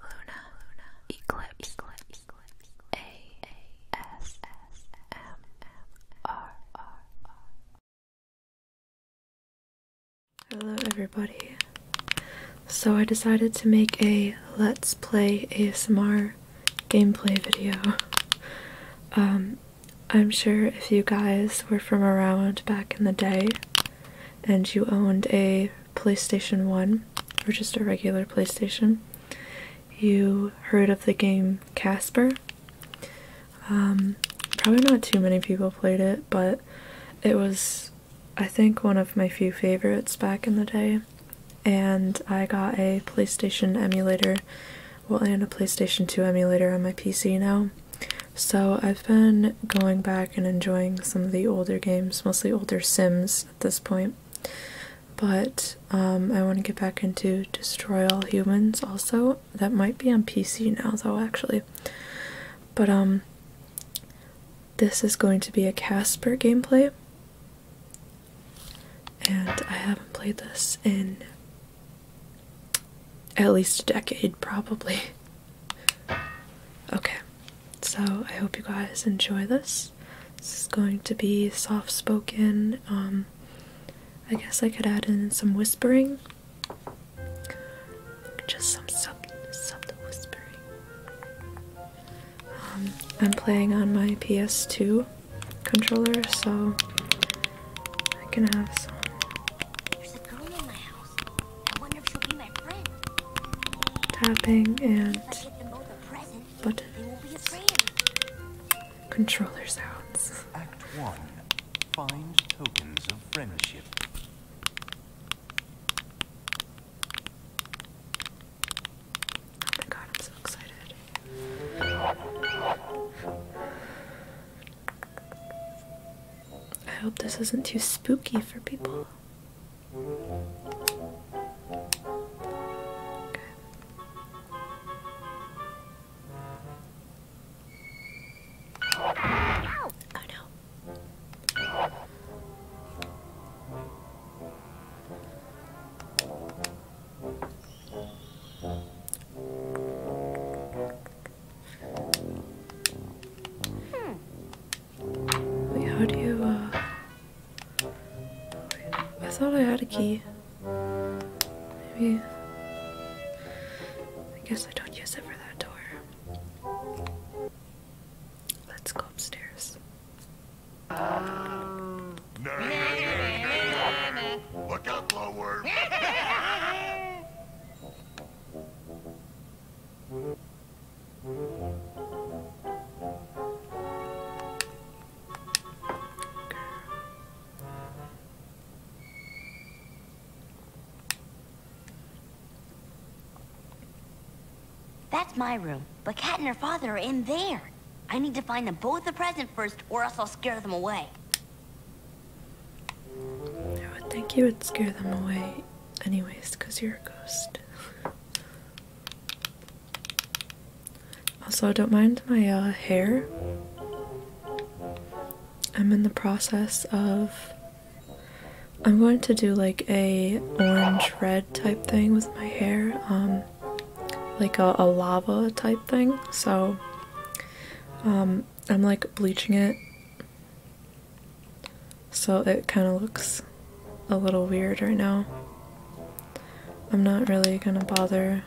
Luna, Luna, Eclipse, Eclipse, Eclipse, A, A, S, S, M, M, R, R, R. Hello, everybody. So I decided to make a Let's Play ASMR gameplay video. Um, I'm sure if you guys were from around back in the day and you owned a PlayStation 1 or just a regular PlayStation, you heard of the game Casper. Um, probably not too many people played it, but it was, I think, one of my few favorites back in the day. And I got a PlayStation emulator well I have a PlayStation 2 emulator on my PC now. So I've been going back and enjoying some of the older games, mostly older Sims at this point. But um, I want to get back into Destroy All Humans also. That might be on PC now though actually. But um this is going to be a Casper gameplay. And I haven't played this in at least a decade, probably. Okay, so I hope you guys enjoy this. This is going to be soft spoken. Um, I guess I could add in some whispering, just some sub subtle whispering. Um, I'm playing on my PS2 controller, so I can have some. Tapping and buttons. controllers out. Act one. Find tokens of friendship. Oh my god, I'm so excited. I hope this isn't too spooky for people. Oh no. Wait, how do you, uh... I thought I had a key. Maybe... I guess I don't use it for that door. Let's go upstairs. Look up, lower! That's my room, but Kat and her father are in there. I need to find them both a present first, or else I'll scare them away. I would think you would scare them away anyways because you're a ghost. also, don't mind my uh, hair. I'm in the process of. I'm going to do like a orange red type thing with my hair, um, like a, a lava type thing. So, um, I'm like bleaching it so it kind of looks a little weird right now. I'm not really gonna bother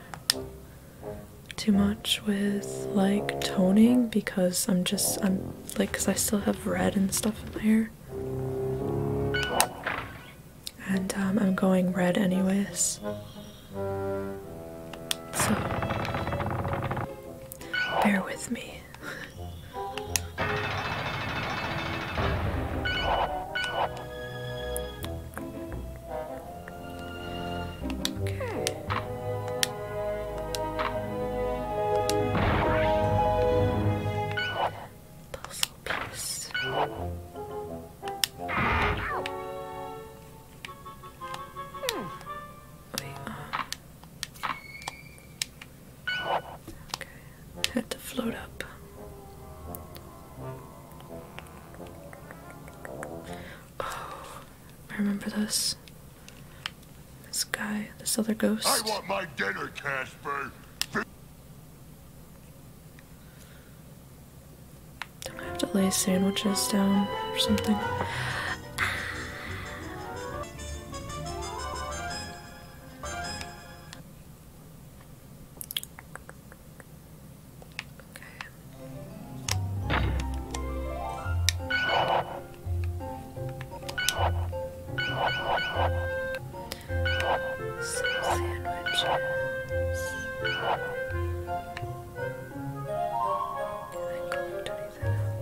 too much with like toning because I'm just I'm like because I still have red and stuff in my hair and um, I'm going red anyways so, bear with me. okay. Puzzle piece. Hmm. had to float up. Oh, I remember this. This guy, this other ghost. I want my dinner, Casper do I have to lay sandwiches down or something?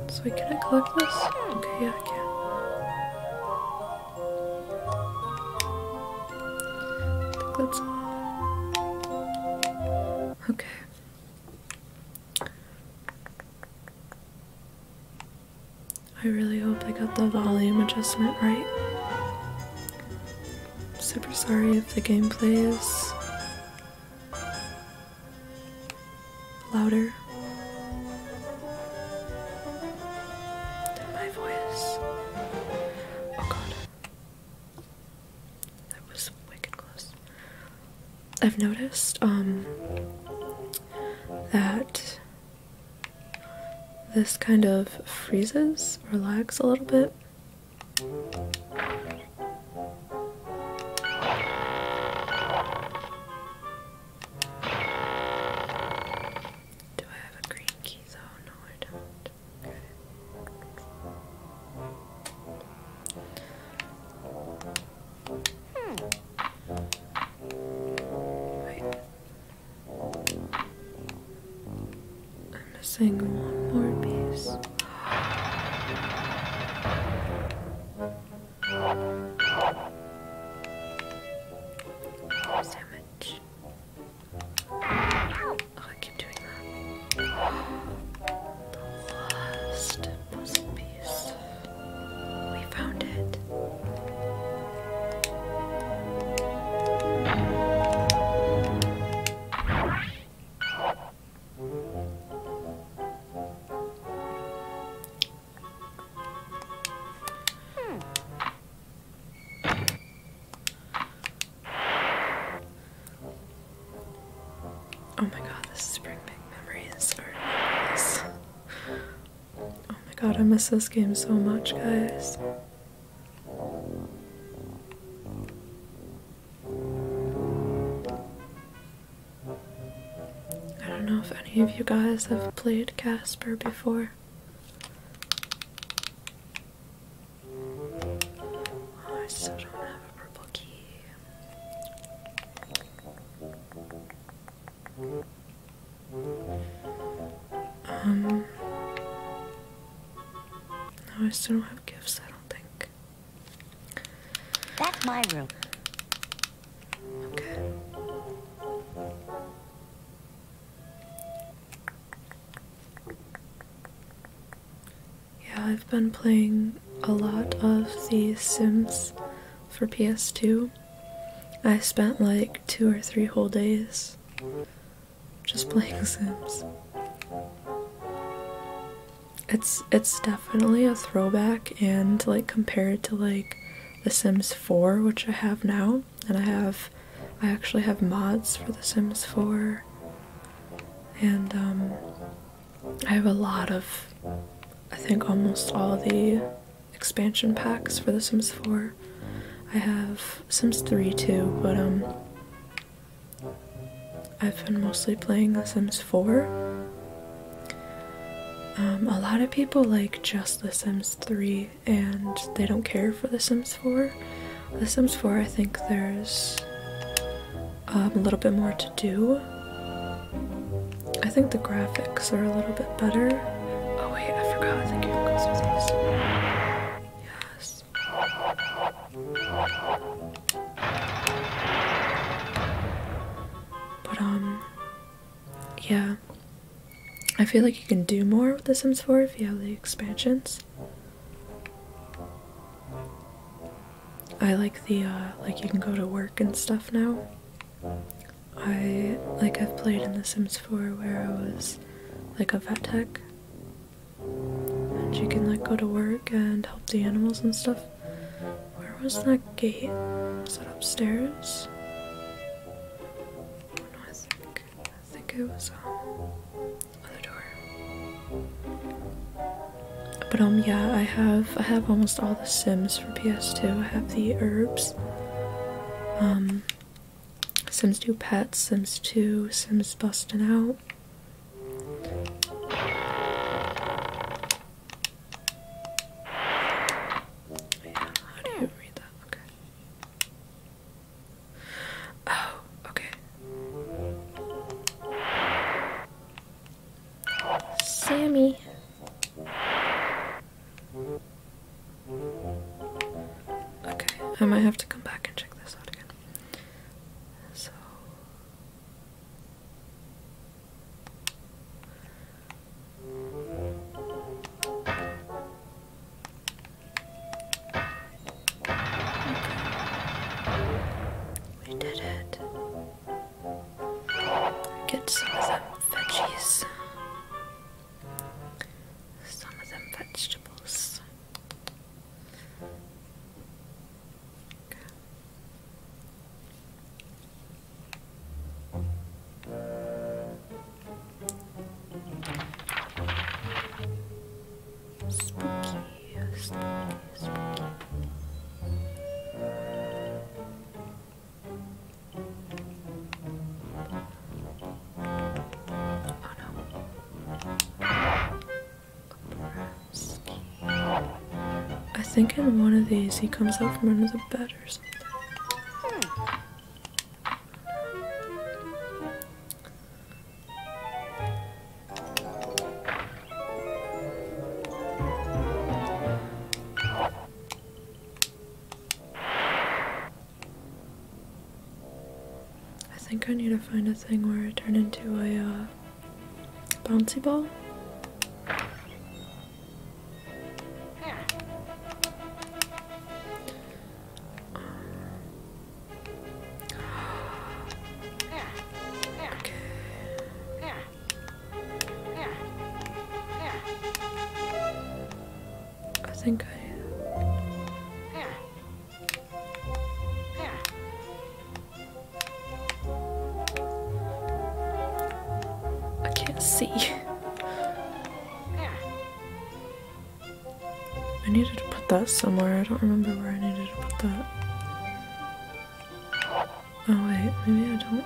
So we can I collect this? Okay, yeah, I can. I Okay. I really hope I got the volume adjustment right. super sorry if the gameplay is louder than my voice. Oh god. That was wicked close. I've noticed um that this kind of freezes or lags a little bit do I have a green key zone? No, I don't. Hmm. Right. I'm missing one more piece. Oh, sandwich. Oh, I keep doing that. The last puzzle piece. We found it. Hmm. Oh my god, this is bringing memories or memories. Oh my god, I miss this game so much, guys. I don't know if any of you guys have played Casper before. Oh, I still don't have a purple key. Um, no, I still don't have gifts, I don't think. That's my room. Okay. Yeah, I've been playing a lot of The Sims for PS2. I spent like two or three whole days just playing Sims it's it's definitely a throwback and like compared to like the sims 4 which i have now and i have i actually have mods for the sims 4 and um, i have a lot of i think almost all the expansion packs for the sims 4 i have sims 3 too but um I've been mostly playing The Sims 4. Um, a lot of people like just The Sims 3 and they don't care for The Sims 4. The Sims 4, I think there's um, a little bit more to do. I think the graphics are a little bit better. Oh wait, I forgot. I think you can go through these. Yes. But, um, yeah. I feel like you can do more with The Sims 4 if you have the expansions. I like the, uh, like you can go to work and stuff now. I, like, I've played in The Sims 4 where I was, like, a vet tech and she can like go to work and help the animals and stuff. Where was that gate? Was it upstairs? I think it was um, other door. But um yeah, I have I have almost all the Sims for PS2. I have the herbs. Um Sims 2 Pets, Sims 2, Sims busting Out, Oh, okay. Sammy. Okay, I might have to come back and check this out again. So, we did it. Get some of them veggies. Some of them vegetables. Spooky, spooky, spooky. Oh no. I think in one of these he comes out from under the bed or something. I think I need to find a thing where I turn into a uh, Bouncy ball. Um, okay. I think I I can't see. I needed to put that somewhere. I don't remember where I needed to put that. Oh wait, maybe I don't.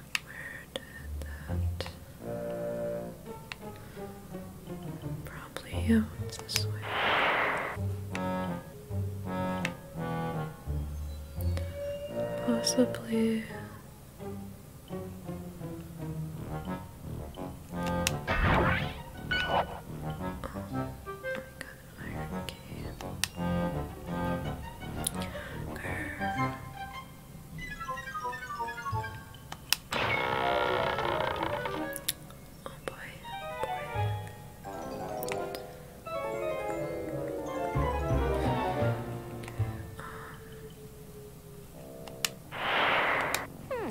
Where did that? Probably out Possibly. Oh, I got an iron key. Grr. Oh boy, oh boy. Um. Hmm.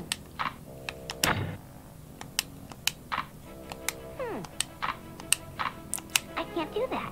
I can't do that.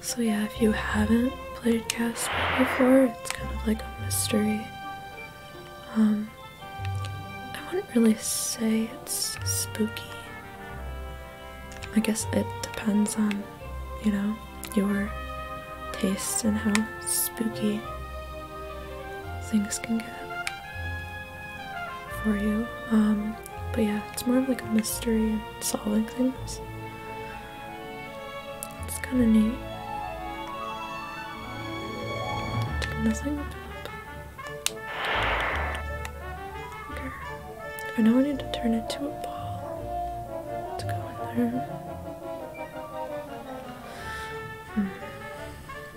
So, yeah, if you haven't played Cast before, it's kind of like a mystery. Um, I wouldn't really say it's spooky. I guess it depends on, you know, your tastes and how spooky things can get for you. Um, but yeah, it's more of like a mystery and solving things. It's kind of neat. I know I need to turn it to a ball. let go in there. Hmm oh,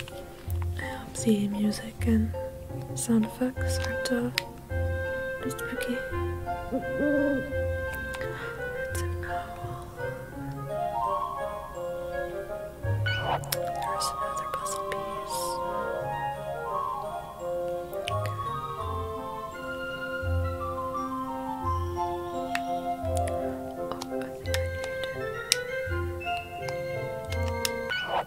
okay. I music and sound effects aren't uh, spooky. It's an owl. There's another puzzle piece. Oh, I think I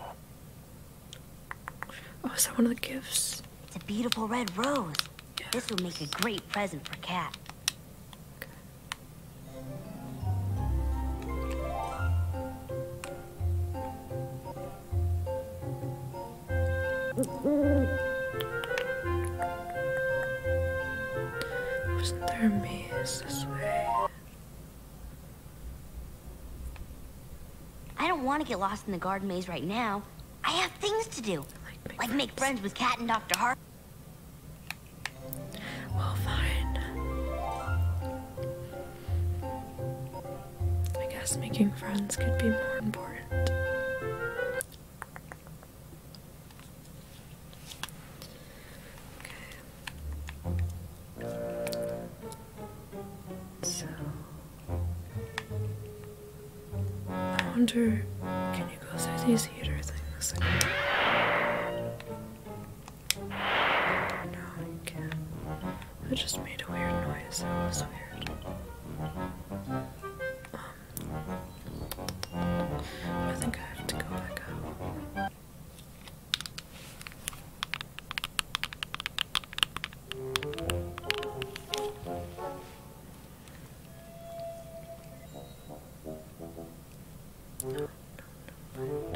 Oh, is that one of the gifts? It's a beautiful red rose. Yeah. This would make a great present for Cat. Okay. Wasn't there a maze this way? I don't want to get lost in the garden maze right now. I have things to do. Like make, friends. friends with Cat and Dr. Hart. Well, fine. I guess making friends could be more important. Okay. So. I wonder, can you go through these heater things? No, you can't. It just made a weird noise. That was weird. Um, I think I have to go back out no, no, no.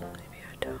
Maybe I don't.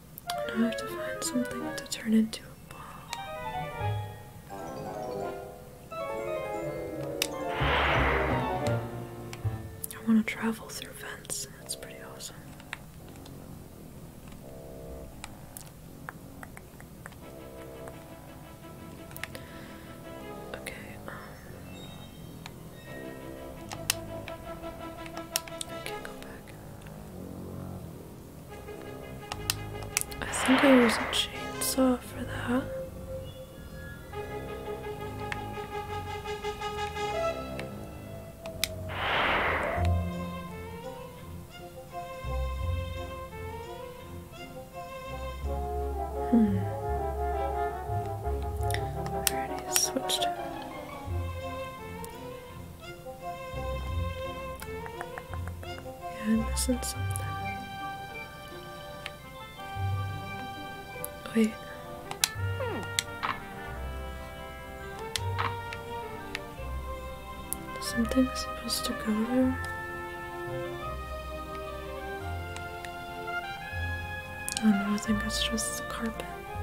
I have to find something to turn into a ball. I want to travel through vents. That's pretty awesome. Okay, um, I can't go back. I think I use a chainsaw for that. Hmm. already switched yeah, I'm missing something. Wait. Something's supposed to go there? I oh, don't know. I think it's just carpet. Okay.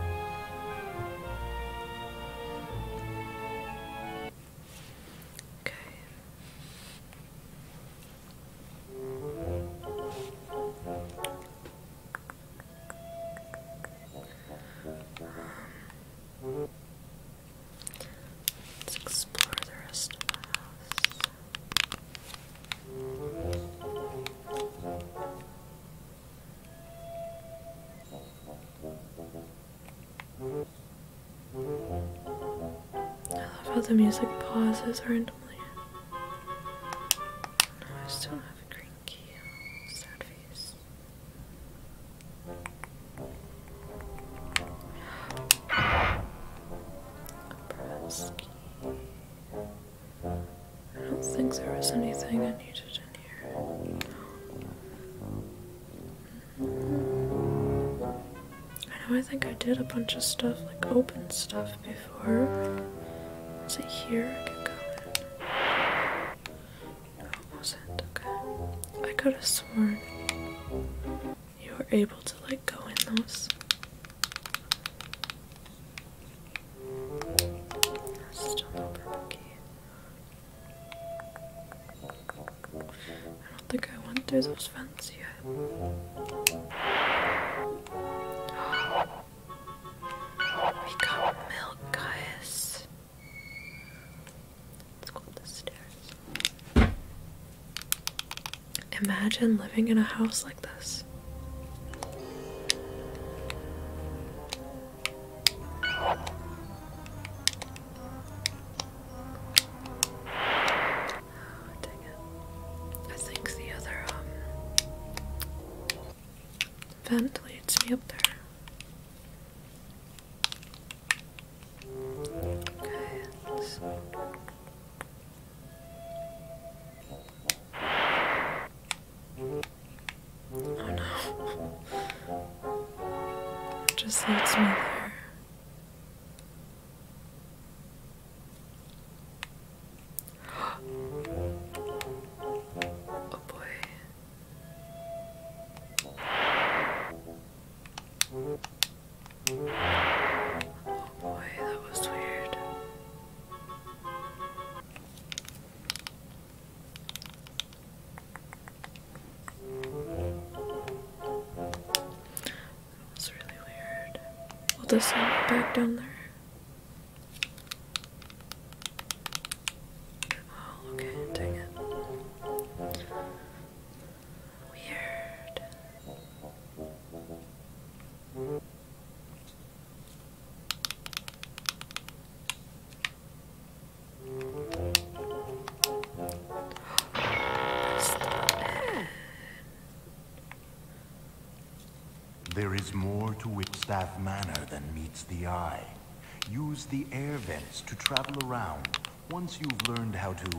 Um, let's explore the rest of the house. I love how the music pauses randomly. No, I still have a green key. Sad face. I don't think there was anything I needed in here. I know I think I did a bunch of stuff, like open stuff before. Is it here I can go in? it wasn't. Okay. I could have sworn you were able to like go in those. Still no purple key. I don't think I went through those vents yet. We got milk, guys. Let's go up the stairs. Imagine living in a house like this. Oh, I think the other um, vent leads me up there. Okay, Oh no. It just leaves me there. Oh boy. Oh boy, that was weird. That's really weird. We'll just send back down there. Oh, okay, dang it. Weird. There is more to Whitstaff Manor than meets the eye. Use the air vents to travel around once you've learned how to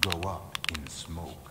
go up in smoke.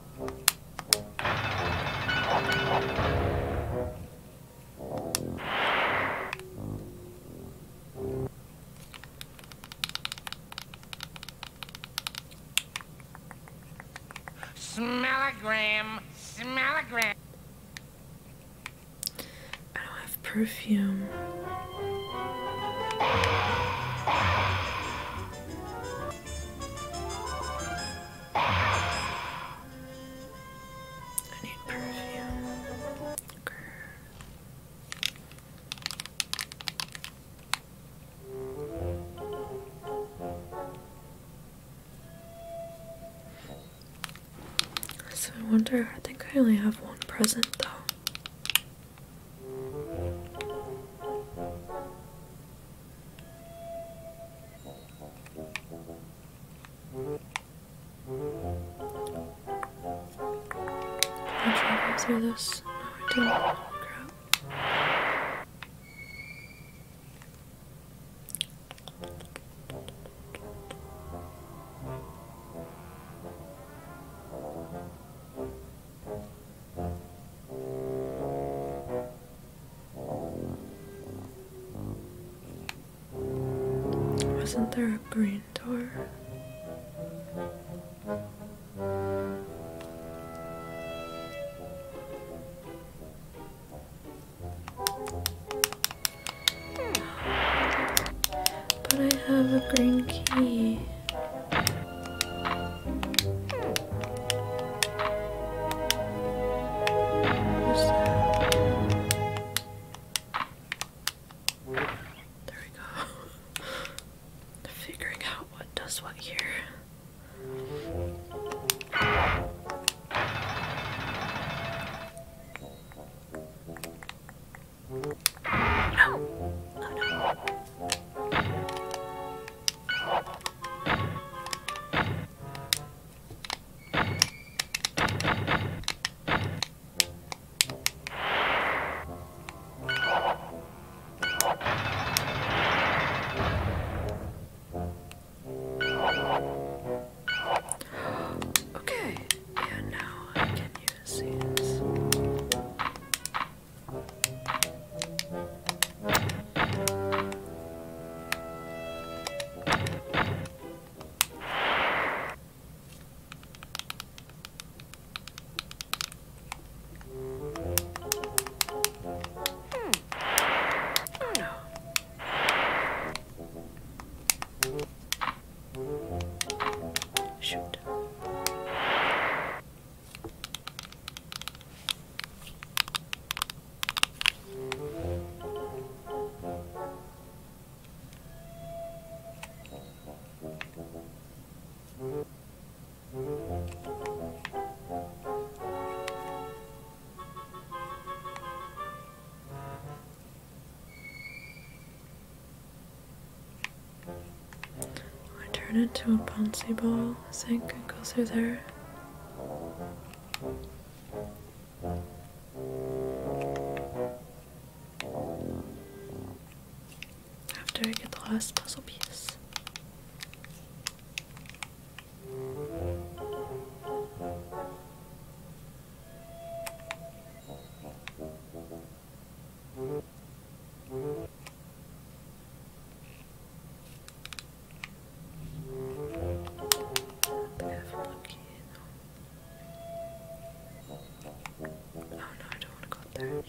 Smellogram, smellogram. I don't have perfume. I need perfume. So I wonder, I think I only have one present though. Did you ever through this? No, I didn't. Wasn't there a green door? But I have a green key. There we go. Figuring out what does what here. Oh Okay, and now I can use these. Hmm. Hmm. Shoot. I turn into a bouncy ball, I think, and go through there. After I get the last puzzle piece. Oh no, I don't want to go up there.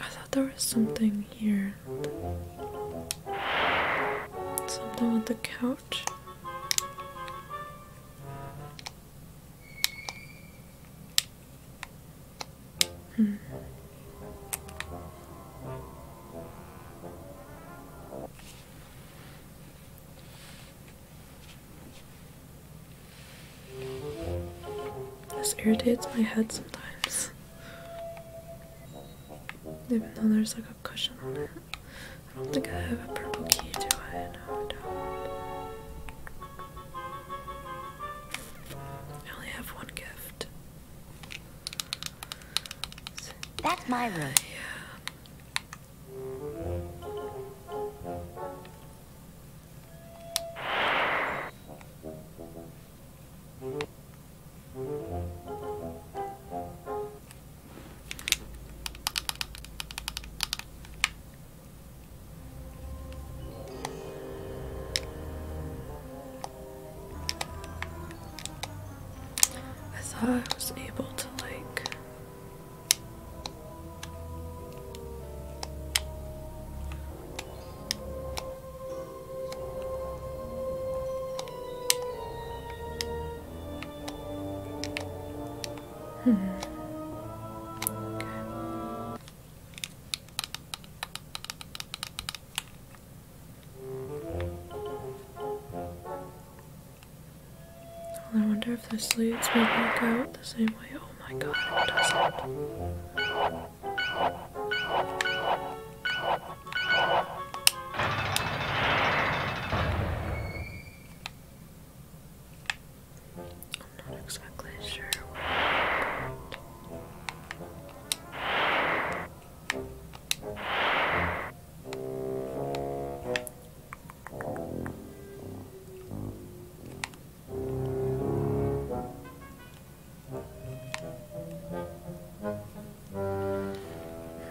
I thought there was something here. Something with the couch. Hmm. This irritates my head sometimes. Even though there's like a cushion on it. I don't think I have a purple key, do I? I only have one gift. That's my room. I thought I was able to like Hmm. I wonder if this leads me back out the same way. Oh my god, it doesn't. I'm not exactly sure what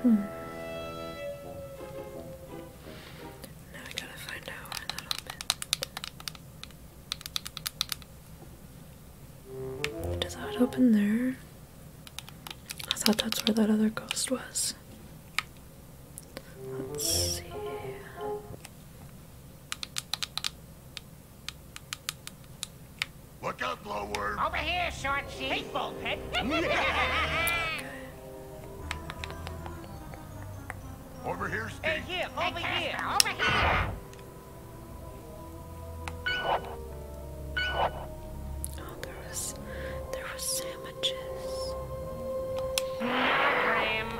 Hmm. Now we gotta find out where that opened. Does that open there? I thought that's where that other ghost was. Let's see. Look out, Glowworm! Over here, shorty! Sheep! over here, Steve! Hey, here! Over here! Over here! Oh, there was... there were sandwiches. Graham.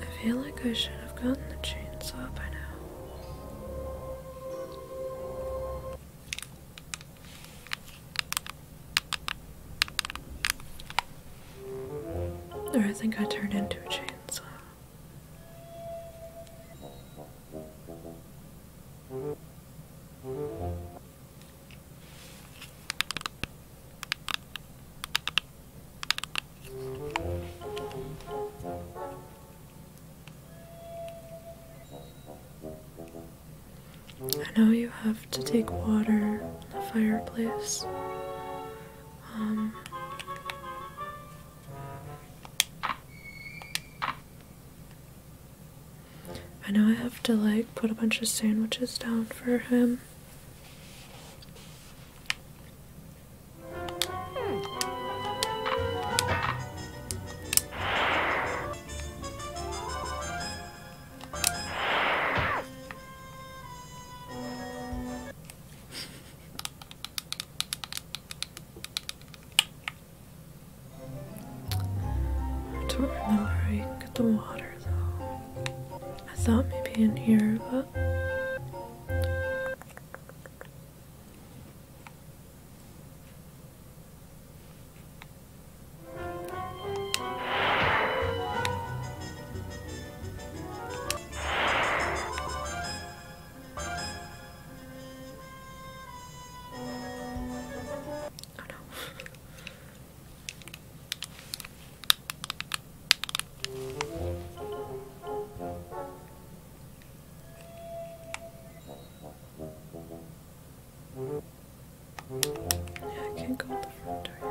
I feel like I should have gotten the chainsaw by now. Or I think I turned into a chainsaw. I know you have to take water in the fireplace, I know I have to like put a bunch of sandwiches down for him. I don't remember I you get the water though. I thought maybe in here, but. Oh no. I can't go out the front door yet.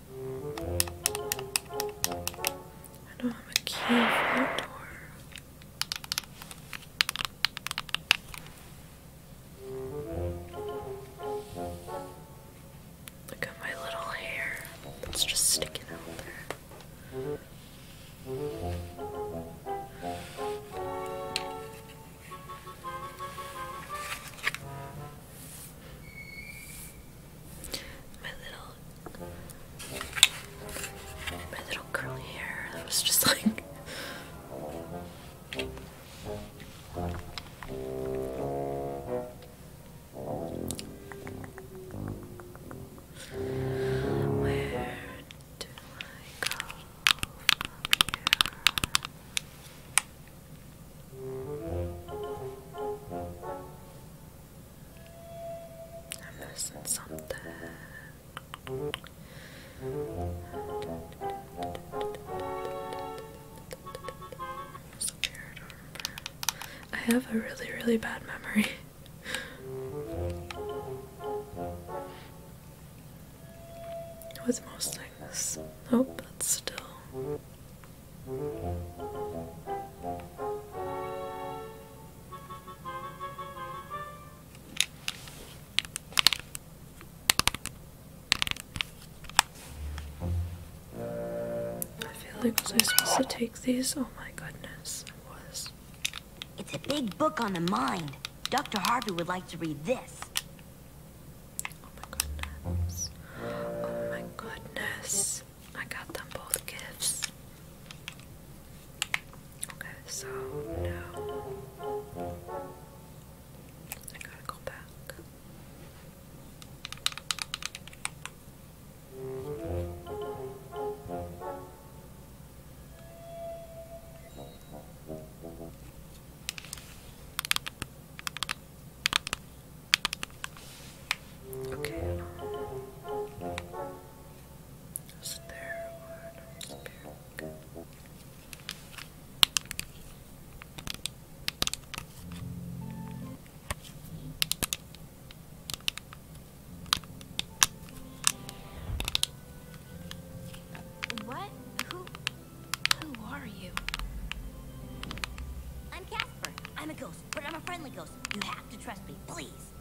I don't have a key for Look at my little hair. It's just sticking out my little my little curly hair that was just like Where do I go from here? I'm missing something. So scared, I, have a really, really bad memory. With most things. Nope, still I feel like was I supposed to take these? Oh my goodness, It was. It's a big book on the mind. Dr. Harvey would like to read this. Oh my goodness. Oh my goodness. I got them both gifts. Okay, so now I gotta go back. Okay. Is it there What? Who? Who are you? I'm Casper. I'm a ghost, but I'm a friendly ghost. You have to trust me, please.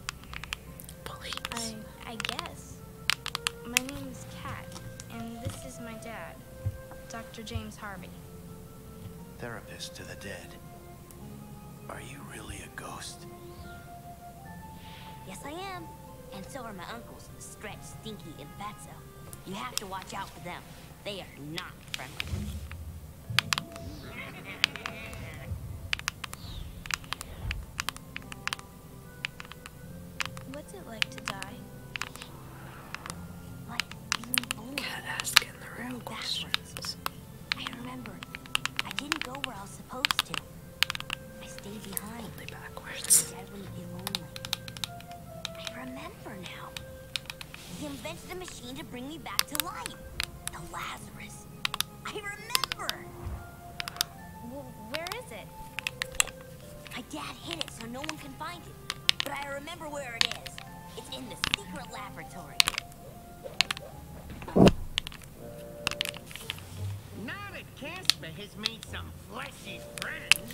Please. I, I guess. My name is Kat, and this is my dad, Dr. James Harvey. Therapist to the dead. Are you really a ghost? Yes, I am. And so are my uncles, Stretch, Stinky, and Fatso. You have to watch out for them. They are not friendly. What's it like to die? Like asking the real questions. I remembered. I didn't go where I was supposed to. I stayed behind. Only backwards. I would be lonely. I remember now. He invented a machine to bring me back to life. The Lazarus. I remember. where is it? My dad hid it so no one can find it. But I remember where it is. It's in the secret laboratory. Now that Casper has made some fleshy friends,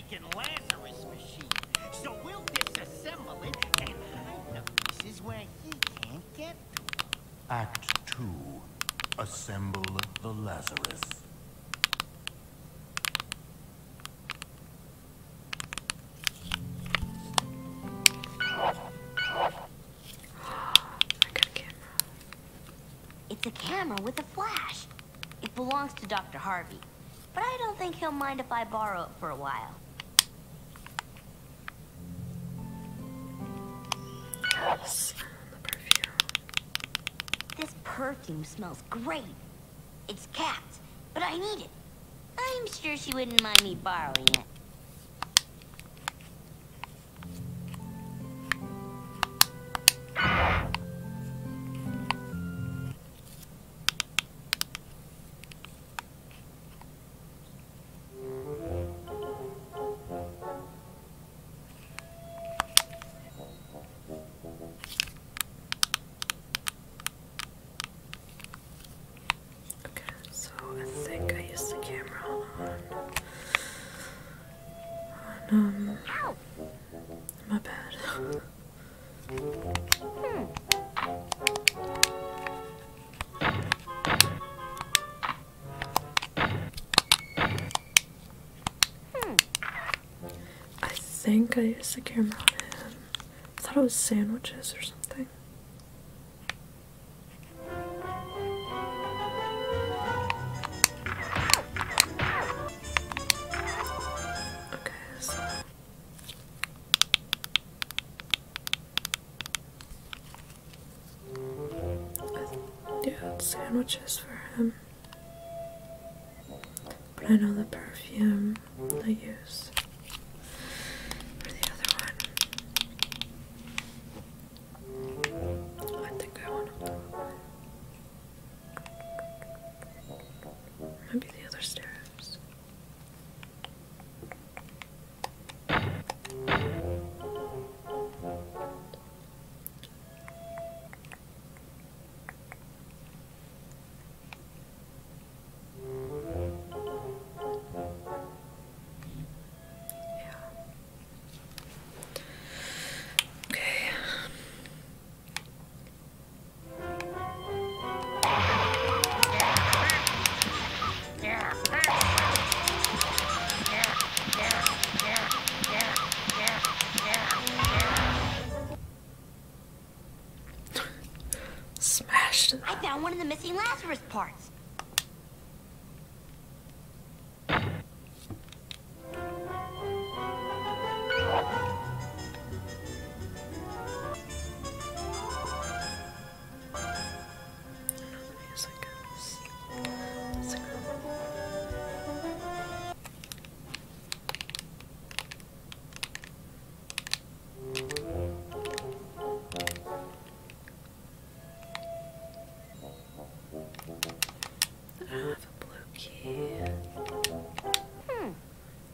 Lincoln Lazarus machine. So we'll disassemble it and hide the pieces where he can't get to. Act 2. Assemble the Lazarus. It's a camera with a flash. It belongs to Dr. Harvey, but I don't think he'll mind if I borrow it for a while. Perfume. This perfume smells great. It's Kat's, but I need it. I'm sure she wouldn't mind me borrowing it. Okay, so I think I used the camera on on um my bad. I think I used the camera on him. I thought it was sandwiches or something. Okay, Doing sandwiches for him, but I know the perfume I use for the other one. I think I want to. Maybe the other stairs. Yeah. Okay. Smashed. I found one of the missing Lazarus parts. I don't have a blue key. Hmm.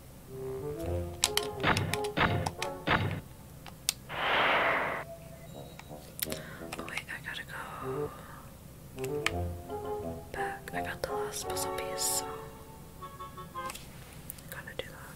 wait, I gotta go back. I got the last puzzle piece, so gotta do that.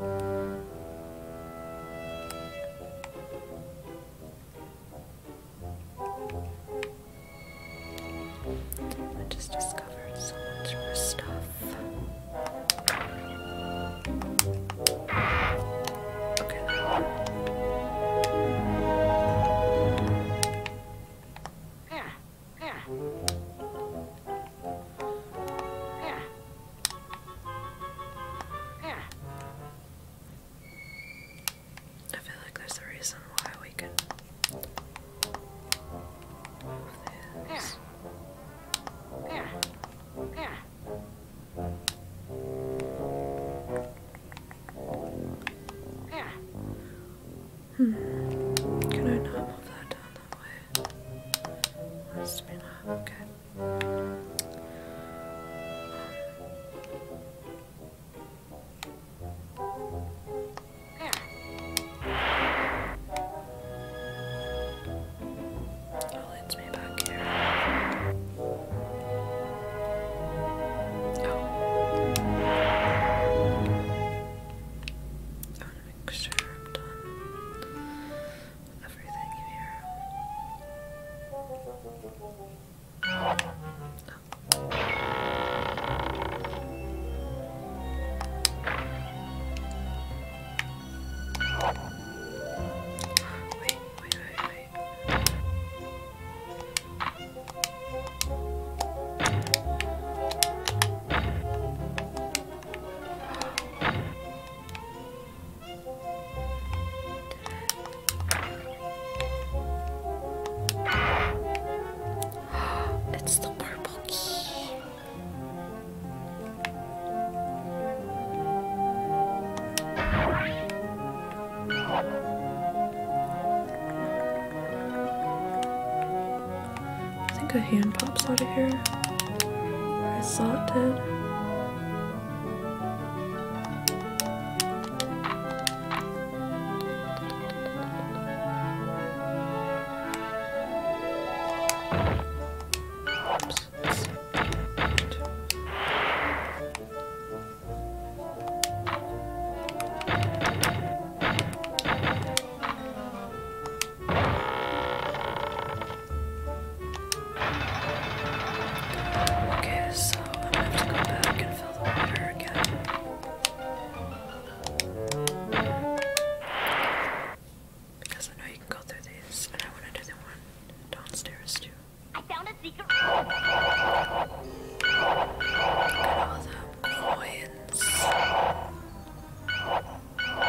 I just discovered so much more stuff. Okay. Ah, ah. I feel like there's a reason why we can move this. Hmm. Can I move that down okay. Um, It leads me back here. I want to make sure I'm done everything you hear. Wait, wait, wait, it's the purple key. I think a hand pops out of here. I saw it did. Okay, so i have to go back and fill the water again. Because I know you can go through these, and I want to do the one downstairs too. I found a secret. Look all the coins. Okay.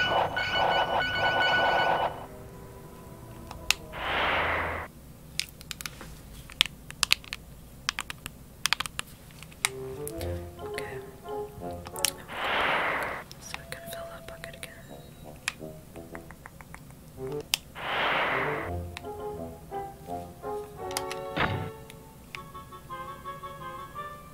So we can fill that bucket again.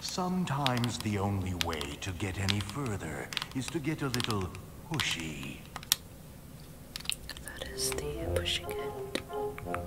Sometimes the only way to get any further is to get a little pushy. That is the pushing it.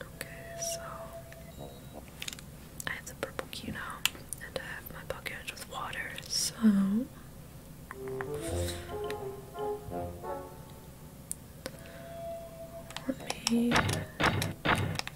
Okay, so I have the purple key now, and I have my bucket with water, so let me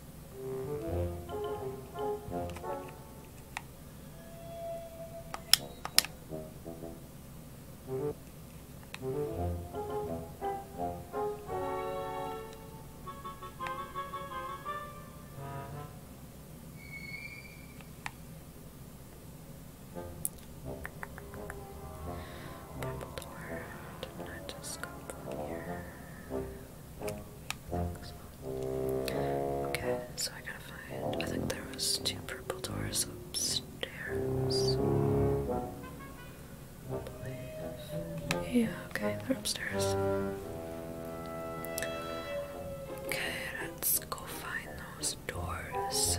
Purple door, did not just come from here. Okay, so I gotta find. I think there was two purple doors upstairs. Yeah, okay, they're upstairs. Okay, let's go find those doors.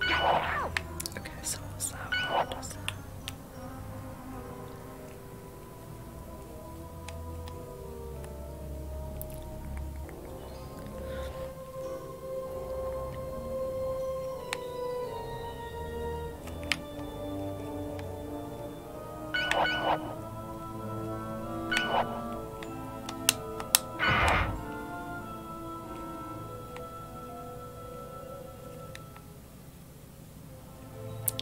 Okay, so what was that one? What was that? Okay,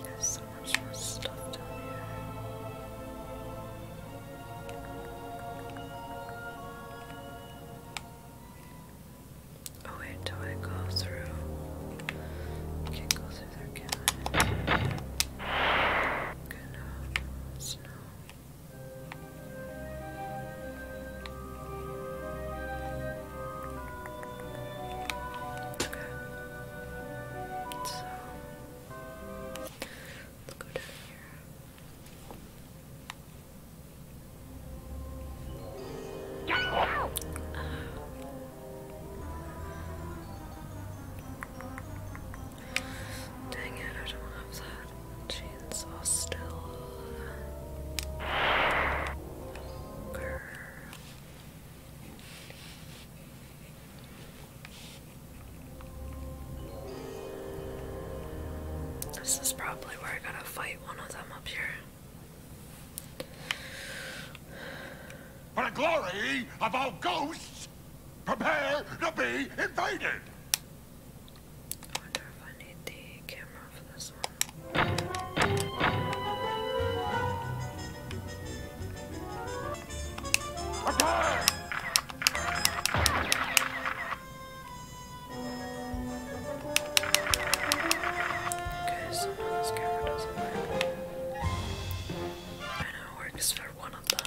there's so much more stuff down here. Oh wait, do I go through? can't go through there, can I? no. Okay. So let's go down here. Uh, dang it, I don't have that. This is probably where I gotta fight one of them up here. For the glory of all ghosts, prepare to be invaded! I wonder if I need the camera for this one. Attack! Okay, so this camera doesn't work. I know it works for one of them.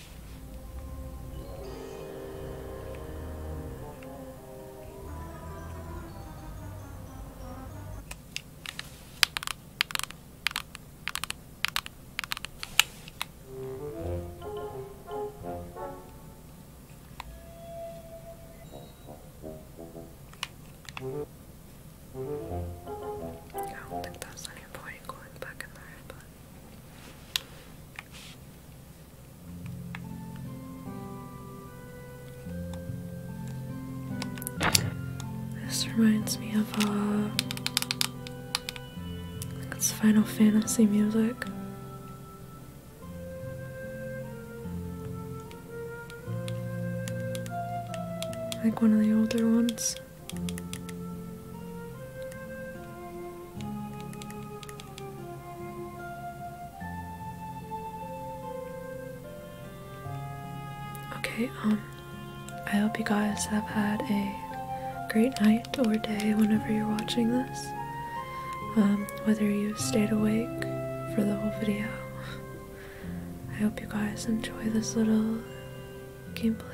I don't think that's any point going back in there, but this reminds me of uh, it's Final Fantasy music. Like one of the older ones. Okay, um, I hope you guys have had a great night or day whenever you're watching this. Um, whether you stayed awake for the whole video. I hope you guys enjoy this little gameplay.